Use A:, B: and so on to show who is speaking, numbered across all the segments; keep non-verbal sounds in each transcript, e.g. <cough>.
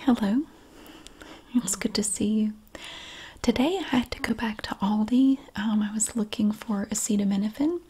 A: Hello, it's good to see you. Today I had to go back to Aldi. Um, I was looking for acetaminophen,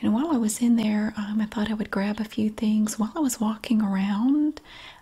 A: and while I was in there, um, I thought I would grab a few things. While I was walking around,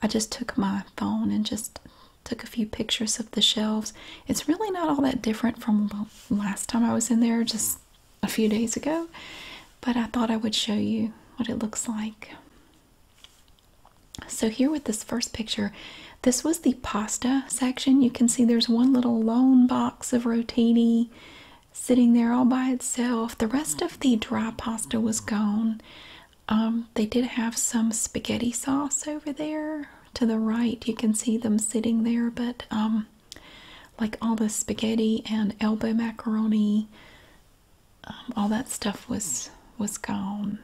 A: I just took my phone and just took a few pictures of the shelves. It's really not all that different from last time I was in there, just a few days ago, but I thought I would show you what it looks like. So here with this first picture, this was the pasta section. You can see there's one little lone box of rotini sitting there all by itself. The rest of the dry pasta was gone. Um, they did have some spaghetti sauce over there to the right. You can see them sitting there, but um, like all the spaghetti and elbow macaroni um, all that stuff was was gone.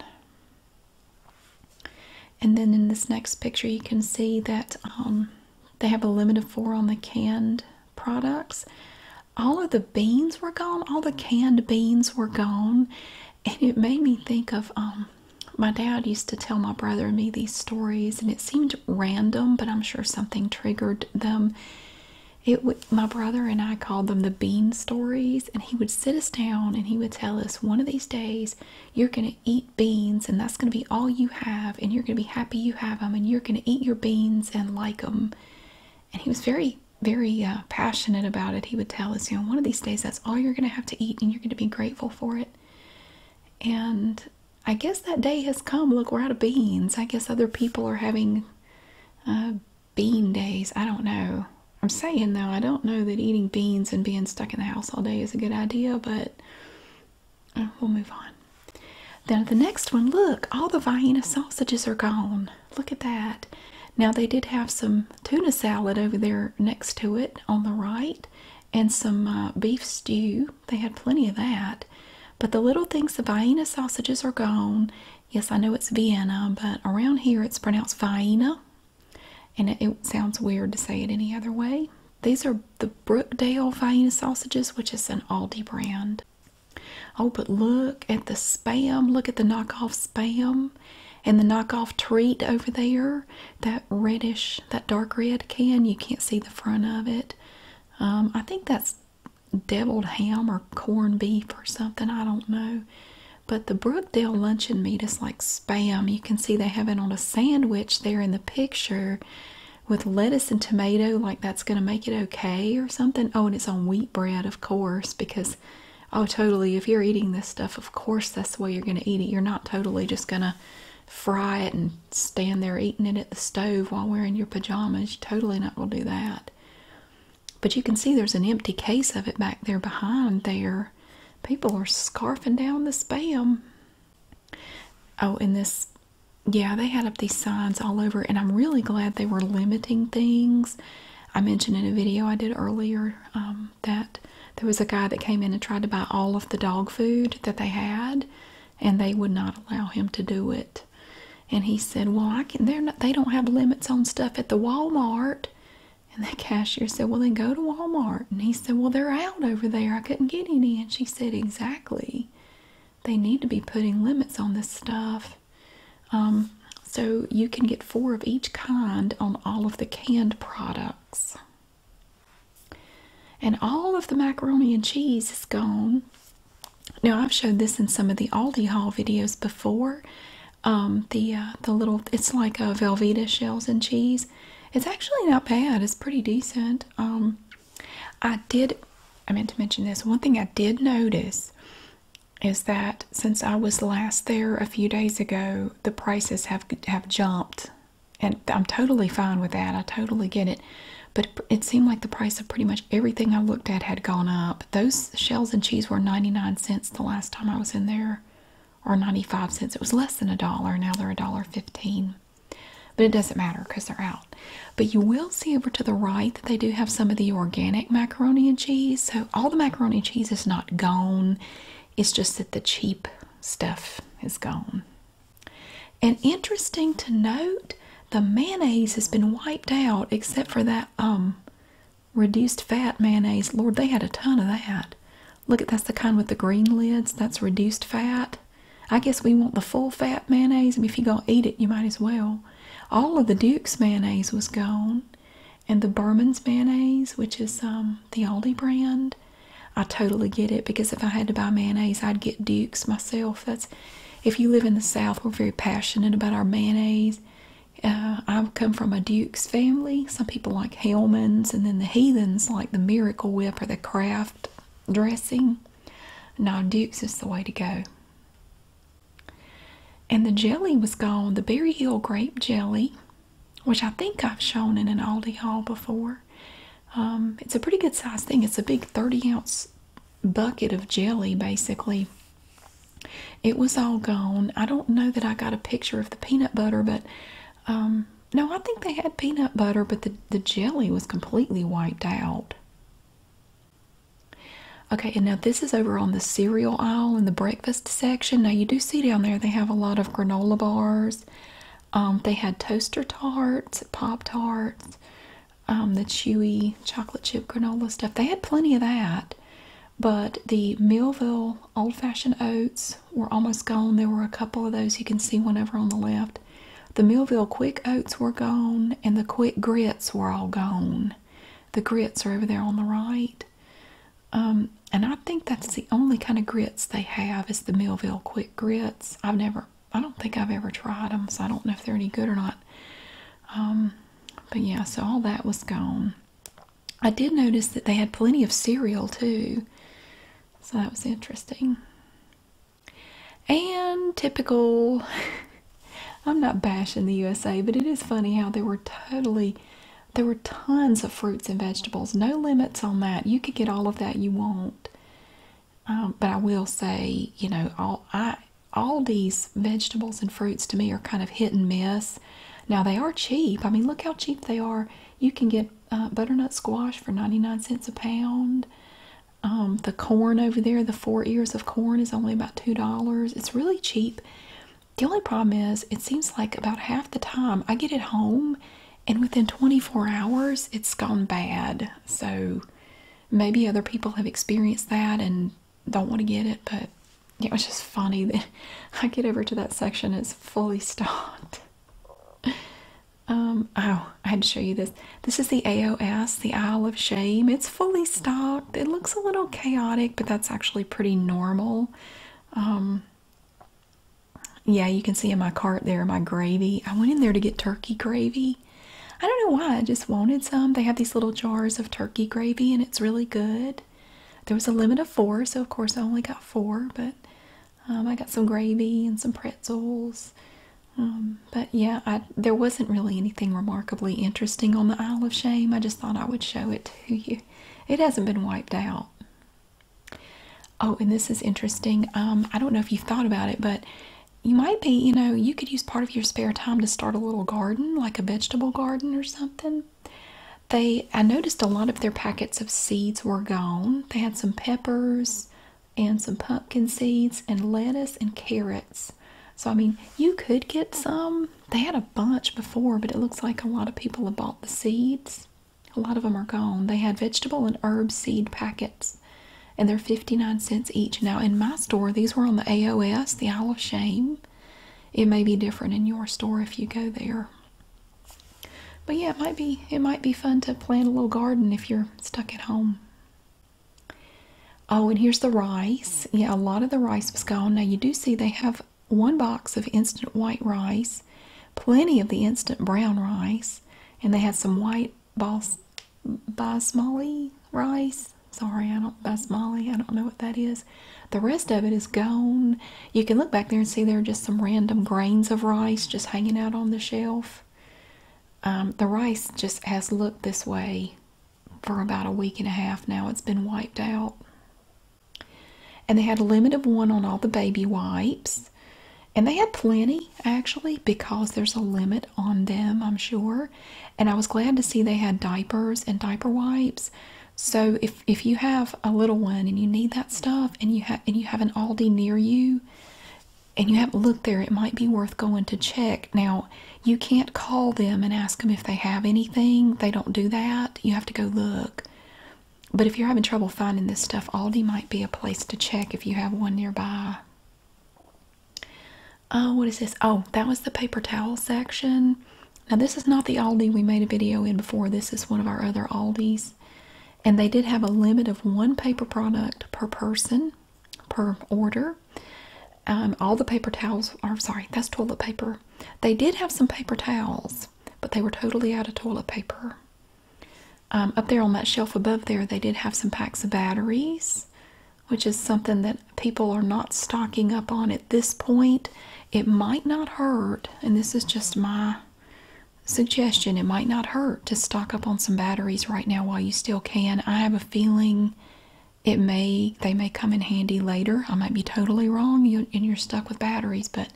A: And then in this next picture, you can see that um, they have a limit of four on the canned products. All of the beans were gone. All the canned beans were gone, and it made me think of um, my dad used to tell my brother and me these stories, and it seemed random, but I'm sure something triggered them. It my brother and I called them the bean stories, and he would sit us down and he would tell us one of these days you're going to eat beans, and that's going to be all you have, and you're going to be happy you have them, and you're going to eat your beans and like them. And he was very, very uh, passionate about it. He would tell us, you know, one of these days that's all you're going to have to eat, and you're going to be grateful for it. And I guess that day has come. Look, we're out of beans. I guess other people are having. Uh, bean days. I don't know. I'm saying though, I don't know that eating beans and being stuck in the house all day is a good idea, but uh, we'll move on. Then the next one, look, all the Vienna sausages are gone. Look at that. Now they did have some tuna salad over there next to it on the right and some uh, beef stew. They had plenty of that. But the little things, the Vienna sausages are gone Yes, I know it's Vienna, but around here it's pronounced Vienna, and it, sounds weird to say it any other way. These are the Brookdale Vienna sausages, which is an Aldi brand. Oh, but look at the spam. Look at the knockoff spam and the knockoff treat over there. That reddish, that dark red can. You can't see the front of it. Um, I think that's deviled ham or corned beef or something. I don't know. But the Brookdale luncheon meat is like spam. You can see they have it on a sandwich there in the picture with lettuce and tomato, like that's going to make it okay or something. Oh, and it's on wheat bread, of course, because, oh, totally, if you're eating this stuff, of course that's the way you're going to eat it. You're not totally just going to fry it and stand there eating it at the stove while wearing your pajamas. You're totally not going to do that. But you can see there's an empty case of it back there behind there. People are scarfing down the spam. Oh, and this, yeah, they had up these signs all over, and I'm really glad they were limiting things. I mentioned in a video I did earlier um, that there was a guy that came in and tried to buy all of the dog food that they had, and they would not allow him to do it and he said, "Well, I can. they don't have limits on stuff at the Walmart." And the cashier said, "Well, then go to Walmart." And he said, "Well, they're out over there. I couldn't get any." And she said, "Exactly. They need to be putting limits on this stuff." Um, so you can get four of each kind on all of the canned products. And all of the macaroni and cheese is gone. Now I've showed this in some of the Aldi haul videos before. Um, the uh, the little it's like a uh, Velveeta shells and cheese. It's actually not bad. It's pretty decent. Um, I did. I meant to mention this. One thing I did notice is that since I was last there a few days ago, the prices have have jumped, and I'm totally fine with that. I totally get it. But it seemed like the price of pretty much everything I looked at had gone up. Those cheese, shells and cheese were 99 cents the last time I was in there, or 95 cents. It was less than a dollar. Now they're a dollar 15. But it doesn't matter because they're out. But you will see over to the right that they do have some of the organic macaroni and cheese. So all the macaroni cheese is not gone. It's just that the cheap stuff is gone. And interesting to note, the mayonnaise has been wiped out except for that um Reduced fat mayonnaise. Lord, they had a ton of that. Look at that's the kind with the green lids. That's reduced fat. I guess we want the full fat mayonnaise. I if you're gonna eat it, you might as well. All of the Duke's mayonnaise was gone, and the Burman's mayonnaise, which is um the Aldi brand. I totally get it because if I had to buy mayonnaise, I'd get Duke's myself. That's if you live in the South, we're very passionate about our mayonnaise. Uh, I come from a Duke's family. Some people like Hellman's, and then the heathens like the Miracle Whip or the Kraft dressing. Now, Duke's is the way to go. And the jelly was gone, the Berry Hill grape jelly, which I think I've shown in an Aldi haul before. Um, it's a pretty good sized thing. It's a big 30 ounce bucket of jelly, basically it was all gone. I don't know that I got a picture of the peanut butter, but um, no, I think they had peanut butter, but the, jelly was completely wiped out. Okay, and now this is over on the cereal aisle in the breakfast section. Now you do see down there they have a lot of granola bars. Um, they had toaster tarts, Pop Tarts, um, the chewy chocolate chip granola stuff. They had plenty of that. But the Millville old fashioned oats were almost gone. There were a couple of those you can see one over on the left. The Millville quick oats were gone, and the quick grits were all gone. The grits are over there on the right. Um, and I think that's the only kind of grits they have is the Millville quick grits. I've never, I don't think I've ever tried them, so I don't know if they're any good or not. Um, but yeah, so all that was gone. I did notice that they had plenty of cereal too, so that was interesting. And typical, <laughs> I'm not bashing the USA, but it is funny how there were totally, there were tons of fruits and vegetables, no limits on that. You could get all of that you want. Um, but I will say, you know, all I all these vegetables and fruits to me are kind of hit and miss. Now they are cheap. I mean, look how cheap they are. You can get uh, butternut squash for 99 cents a pound. Um, the corn over there, the four ears of corn, is only about $2. It's really cheap. The only problem is, it seems like about half the time I get it home and within 24 hours it's gone bad. So maybe other people have experienced that and don't want to get it, but it was just funny that <laughs> I get over to that section, it's fully stocked. <laughs> Um, oh, I had to show you this. This is the AOS, the Isle of Shame. It's fully stocked. It looks a little chaotic, but that's actually pretty normal. Um, yeah, you can see in my cart there my gravy. I went in there to get turkey gravy. I don't know why, I just wanted some. They have these little jars of turkey gravy and it's really good. There was a limit of four, so of course I only got four, but um, I got some gravy and some pretzels. Um, but yeah, I, there wasn't really anything remarkably interesting on the Isle of Shame. I just thought I would show it to you. It hasn't been wiped out. Oh, and this is interesting. Um, I don't know if you've thought about it, but you might be, you know, you could use part of your spare time to start a little garden, like a vegetable garden or something. They I noticed a lot of their packets of seeds were gone. They had some peppers and some pumpkin seeds and lettuce and carrots. So I mean, you could get some. They had a bunch before, but it looks like a lot of people have bought the seeds. A lot of them are gone. They had vegetable and herb seed packets. And they're 59 cents each. Now, in my store, these were on the AOS, the Isle of Shame. It may be different in your store if you go there. But yeah, it might be it might be fun to plant a little garden if you're stuck at home. Oh, and here's the rice. Yeah, a lot of the rice was gone. Now you do see they have one box of instant white rice, plenty of the instant brown rice, and they had some white bas basmati rice. Sorry, I don't. That's Molly. I don't know what that is. The rest of it is gone. You can look back there and see there are just some random grains of rice just hanging out on the shelf. Um, the rice just has looked this way for about a week and a half now. It's been wiped out. And they had a limit of one on all the baby wipes. And they had plenty actually because there's a limit on them, I'm sure. And I was glad to see they had diapers and diaper wipes so if if you have a little one and you need that stuff and you have and you have an Aldi near you and you haven't looked there, it might be worth going to check. Now you can't call them and ask them if they have anything. They don't do that. You have to go look. But if you're having trouble finding this stuff, Aldi might be a place to check if you have one nearby. Oh, what is this? Oh, that was the paper towel section. Now this is not the Aldi we made a video in before. This is one of our other Aldis. And they did have a limit of one paper product per person, per order. Um, all the paper towels are, sorry, that's toilet paper. They did have some paper towels, but they were totally out of toilet paper. Um, up there on that shelf above there, they did have some packs of batteries, which is something that people are not stocking up on at this point, it might not hurt, and this is just my suggestion, it might not hurt to stock up on some batteries right now while you still can. I have a feeling it may they may come in handy later. I might be totally wrong you, and you're stuck with batteries, but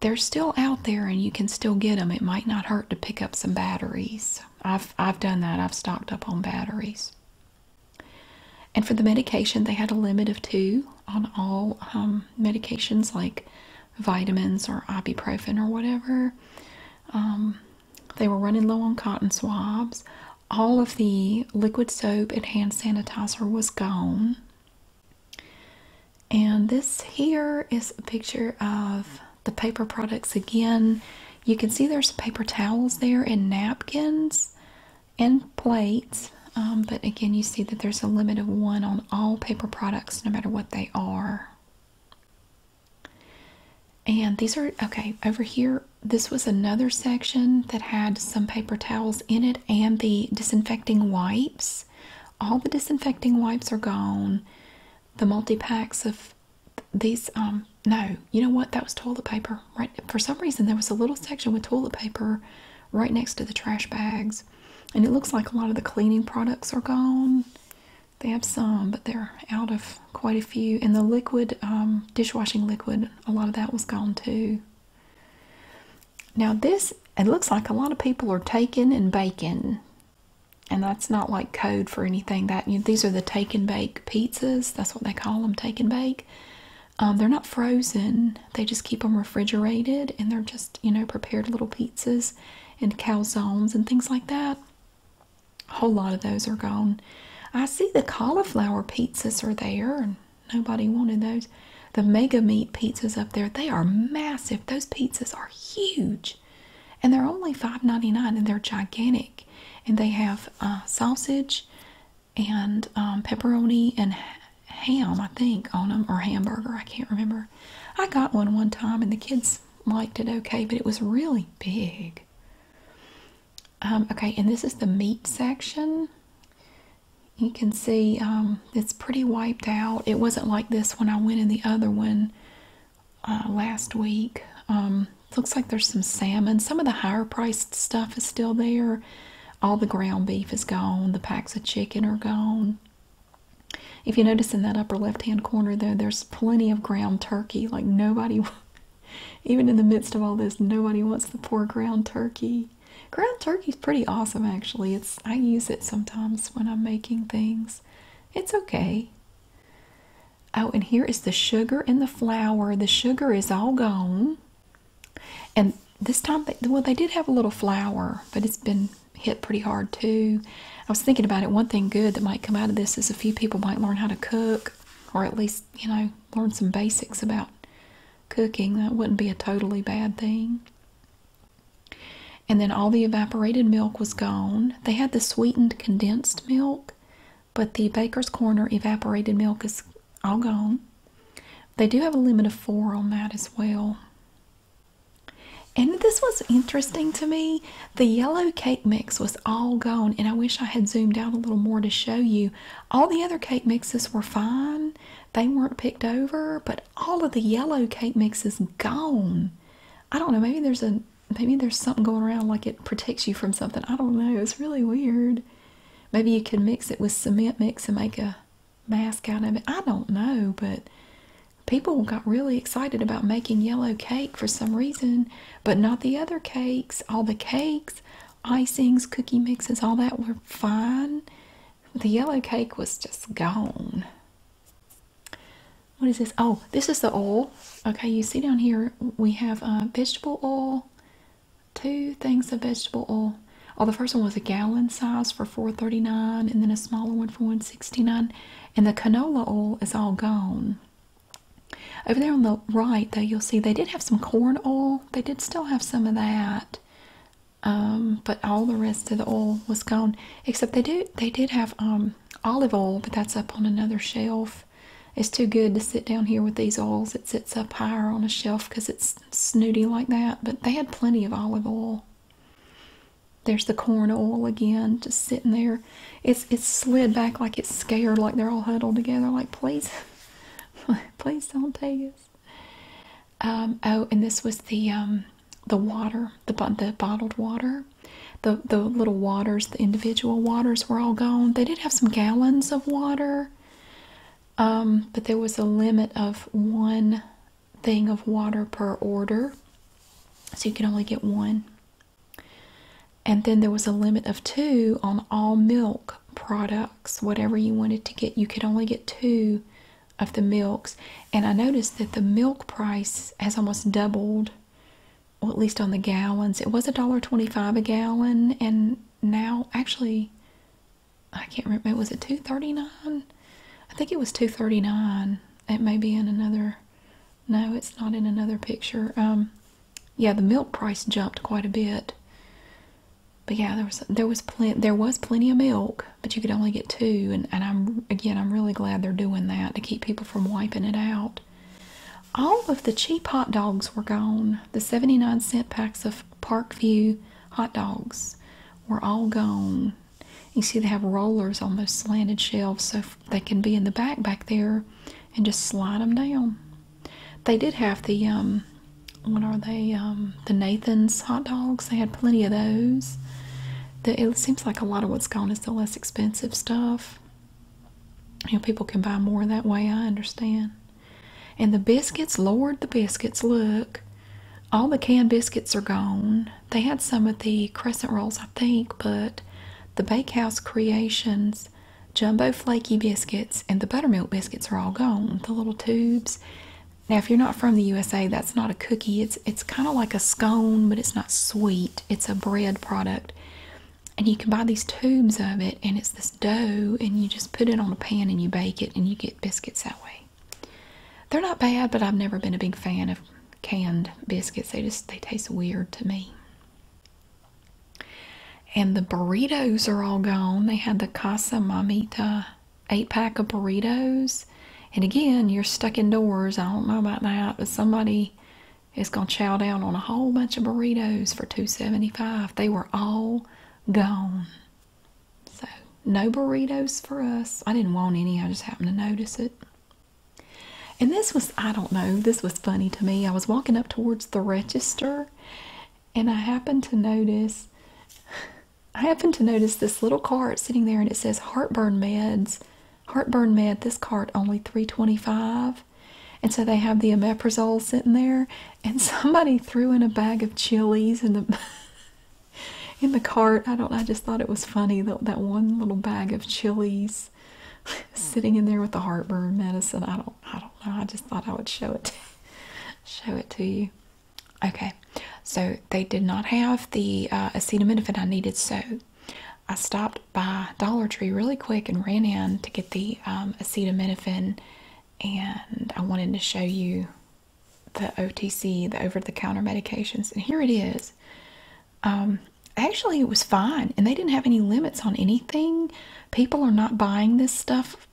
A: they're still out there and you can still get them. It might not hurt to pick up some batteries. I've I've done that. I've stocked up on batteries. And for the medication, they had a limit of two on all um, medications like vitamins or ibuprofen or whatever. Um, they were running low on cotton swabs. All of the liquid soap and hand sanitizer was gone. And this here is a picture of the paper products again. You can see there's paper towels there and napkins and plates. Um, but again, you see that there's a limit of one on all paper products, no matter what they are. And these are okay over here. This was another section that had some paper towels in it and the disinfecting wipes. All the disinfecting wipes are gone. The multi packs of these, um, no, you know what? That was toilet paper right for some reason there was a little section with toilet paper right next to the trash bags and it looks like a lot of the cleaning products are gone they have some but they're out of quite a few and the liquid um, dishwashing liquid a lot of that was gone too now this it looks like a lot of people are taking and baking and that's not like code for anything that you these are the taken bake pizzas that's what they call them taken bake um, they're not frozen. They just keep them refrigerated, and they're just you know prepared little pizzas and calzones and things like that. A whole lot of those are gone. I see the cauliflower pizzas are there, and nobody wanted those. The mega meat pizzas up there, they are massive. Those pizzas are huge. And they're only $5.99 and they're gigantic. And they have uh, sausage and um, pepperoni and ham, I think, on them, or hamburger. I can't remember. I got one one time, and the kids liked it okay, but it was really big. Um, okay, and this is the meat section. You can see um, it's pretty wiped out. It wasn't like this when I went in the other one uh, last week. looks like there's some salmon. Some of the higher priced stuff is still there all the ground beef is gone, the packs of chicken are gone. If you notice in that upper left hand corner, though, there's plenty of ground turkey. Like nobody, <laughs> even in the midst of all this, nobody wants the poor ground turkey. Ground turkey's pretty awesome, actually. It's I use it sometimes when I'm making things. It's okay. Oh, and here is the sugar and the flour. The sugar is all gone. And this time, they, well, they did have a little flour, but it's been hit pretty hard too. I was thinking about it. One thing good that might come out of this is a few people might learn how to cook, or at least, you know, learn some basics about cooking. That wouldn't be a totally bad thing. And then all the evaporated milk was gone. They had the sweetened condensed milk, but the Baker's Corner evaporated milk is all gone. They do have a limit of four on that as well. And this was interesting to me. The yellow cake mix was all gone, and I wish I had zoomed out a little more to show you. All the other cake mixes were fine, they weren't picked over, but all of the yellow cake mix is gone. I don't know, maybe there's a maybe there's something going around like it protects you from something. I don't know, it's really weird. Maybe you can mix it with cement mix and make a mask out of it. I don't know, but people got really excited about making yellow cake for some reason, but not the other cakes. All the cakes, icings, cookie mixes, all that were fine. The yellow cake was just gone. What is this? Oh, this is the oil. Okay, you see down here we have uh, vegetable oil, two things of vegetable oil. Oh, the first one was a gallon size for $4.39 and then a smaller one for $1.69. And the canola oil is all gone. Over there on the right, though, you'll see they did have some corn oil. They did still have some of that. Um, but all the rest of the oil was gone. Except they do they did have um, olive oil, but that's up on another shelf. It's too good to sit down here with these oils. It sits up higher on a shelf because it's snooty like that, but they had plenty of olive oil. There's the corn oil again, just sitting there. It's it's slid back like it's scared, like they're all huddled together, like please, <laughs> please don't take us. Um, oh, and this was the um, the water, the the bottled water. The the little waters, the individual waters were all gone. They did have some gallons of water. Um, but there was a limit of one thing of water per order, so you could only get one. And then there was a limit of two on all milk products, whatever you wanted to get, you could only get two of the milks. And I noticed that the milk price has almost doubled, or at least on the gallons. It was a dollar twenty-five a gallon, and now actually I can't remember. Was it 239? I think it was 239. It may be in another. No, it's not in another picture. Um, yeah, the milk price jumped quite a bit. But yeah, there was there was plenty there was plenty of milk, but you could only get two. And and I'm again, I'm really glad they're doing that to keep people from wiping it out. All of the cheap hot dogs were gone. The 79 cent packs of Parkview hot dogs were all gone. You see, they have rollers on those slanted shelves so they can be in the back back there and just slide them down. They did have the, um, what are they, um, the Nathan's hot dogs. They had plenty of those. it seems like a lot of what's gone is the less expensive stuff. You know, people can buy more that way, I understand. And the biscuits, Lord, the biscuits, look. All the canned biscuits are gone. They had some of the crescent rolls, I think, but the Bakehouse Creations jumbo flaky biscuits and the buttermilk biscuits are all gone. The little tubes. Now, if you're not from the USA, that's not a cookie. It's it's kind of like a scone, but it's not sweet. It's a bread product. And you can buy these tubes of it, and it's this dough, and you just put it on a pan and you bake it, and you get biscuits that way. They're not bad, but I've never been a big fan of canned biscuits. They just they taste weird to me. And the burritos are all gone. They had the Casa Mamita eight pack of burritos. And again, you're stuck indoors. I don't know about that, but somebody is gonna chow down on a whole bunch of burritos for 275. They were all gone. So, no burritos for us. I didn't want any, I just happened to notice it. And this was, I don't know, this was funny to me. I was walking up towards the register and I happened to notice. I happened to notice this little cart sitting there and it says heartburn meds. Heartburn med, this cart only 325 And so they have the omeprazole sitting there and somebody threw in a bag of chilies in the <laughs> in the cart. I don't. I just thought it was funny that that one little bag of chilies <laughs> sitting in there with the heartburn medicine. I don't. I don't know. I just thought I would show it. <laughs> show it to you. Okay, so they did not have the uh, acetaminophen I needed, so I stopped by Dollar Tree really quick and ran in to get the um, acetaminophen, and I wanted to show you the OTC, the over the counter medications, and here it is. Um, actually, it was fine, and they didn't have any limits on anything. People are not buying this stuff,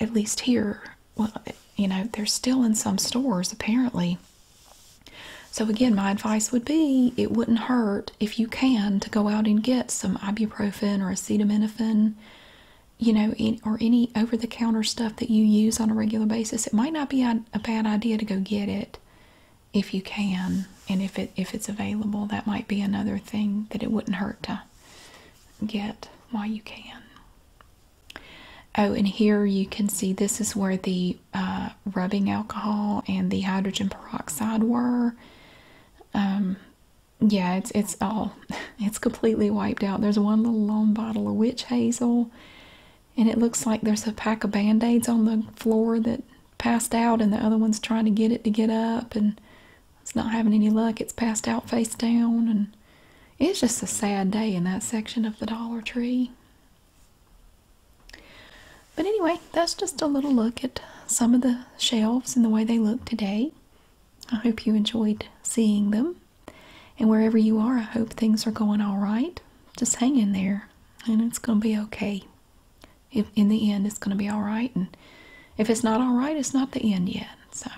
A: at least here. Well, you know, they're still in some stores apparently. So, again, my advice would be it wouldn't hurt if you can to go out and get some ibuprofen or acetaminophen you know, or any over the counter stuff that you use on a regular basis, it might not be a, bad idea to go get it if you can and if it if it's available. That might be another thing that it wouldn't hurt to get while you can. Oh, and here you can see this is where the uh, rubbing alcohol and the hydrogen peroxide were. Um, yeah, it's it's all <laughs> it's completely wiped out. There's one little long bottle of witch hazel, and it looks like there's a pack of band-aids on the floor that passed out, and the other one's trying to get it to get up, and it's not having any luck. It's passed out face down, and it's just a sad day in that section of the Dollar Tree. But anyway, that's just a little look at some of the shelves and the way they look today. I hope you enjoyed seeing them. And wherever you are, I hope things are going all right. Just hang in there, and it's going to be okay. If in the end, it's going to be all right, and if it's not all right, it's not the end yet. So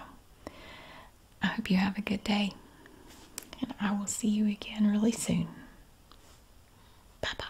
A: I hope you have a good day, and I will see you again really soon. Bye bye.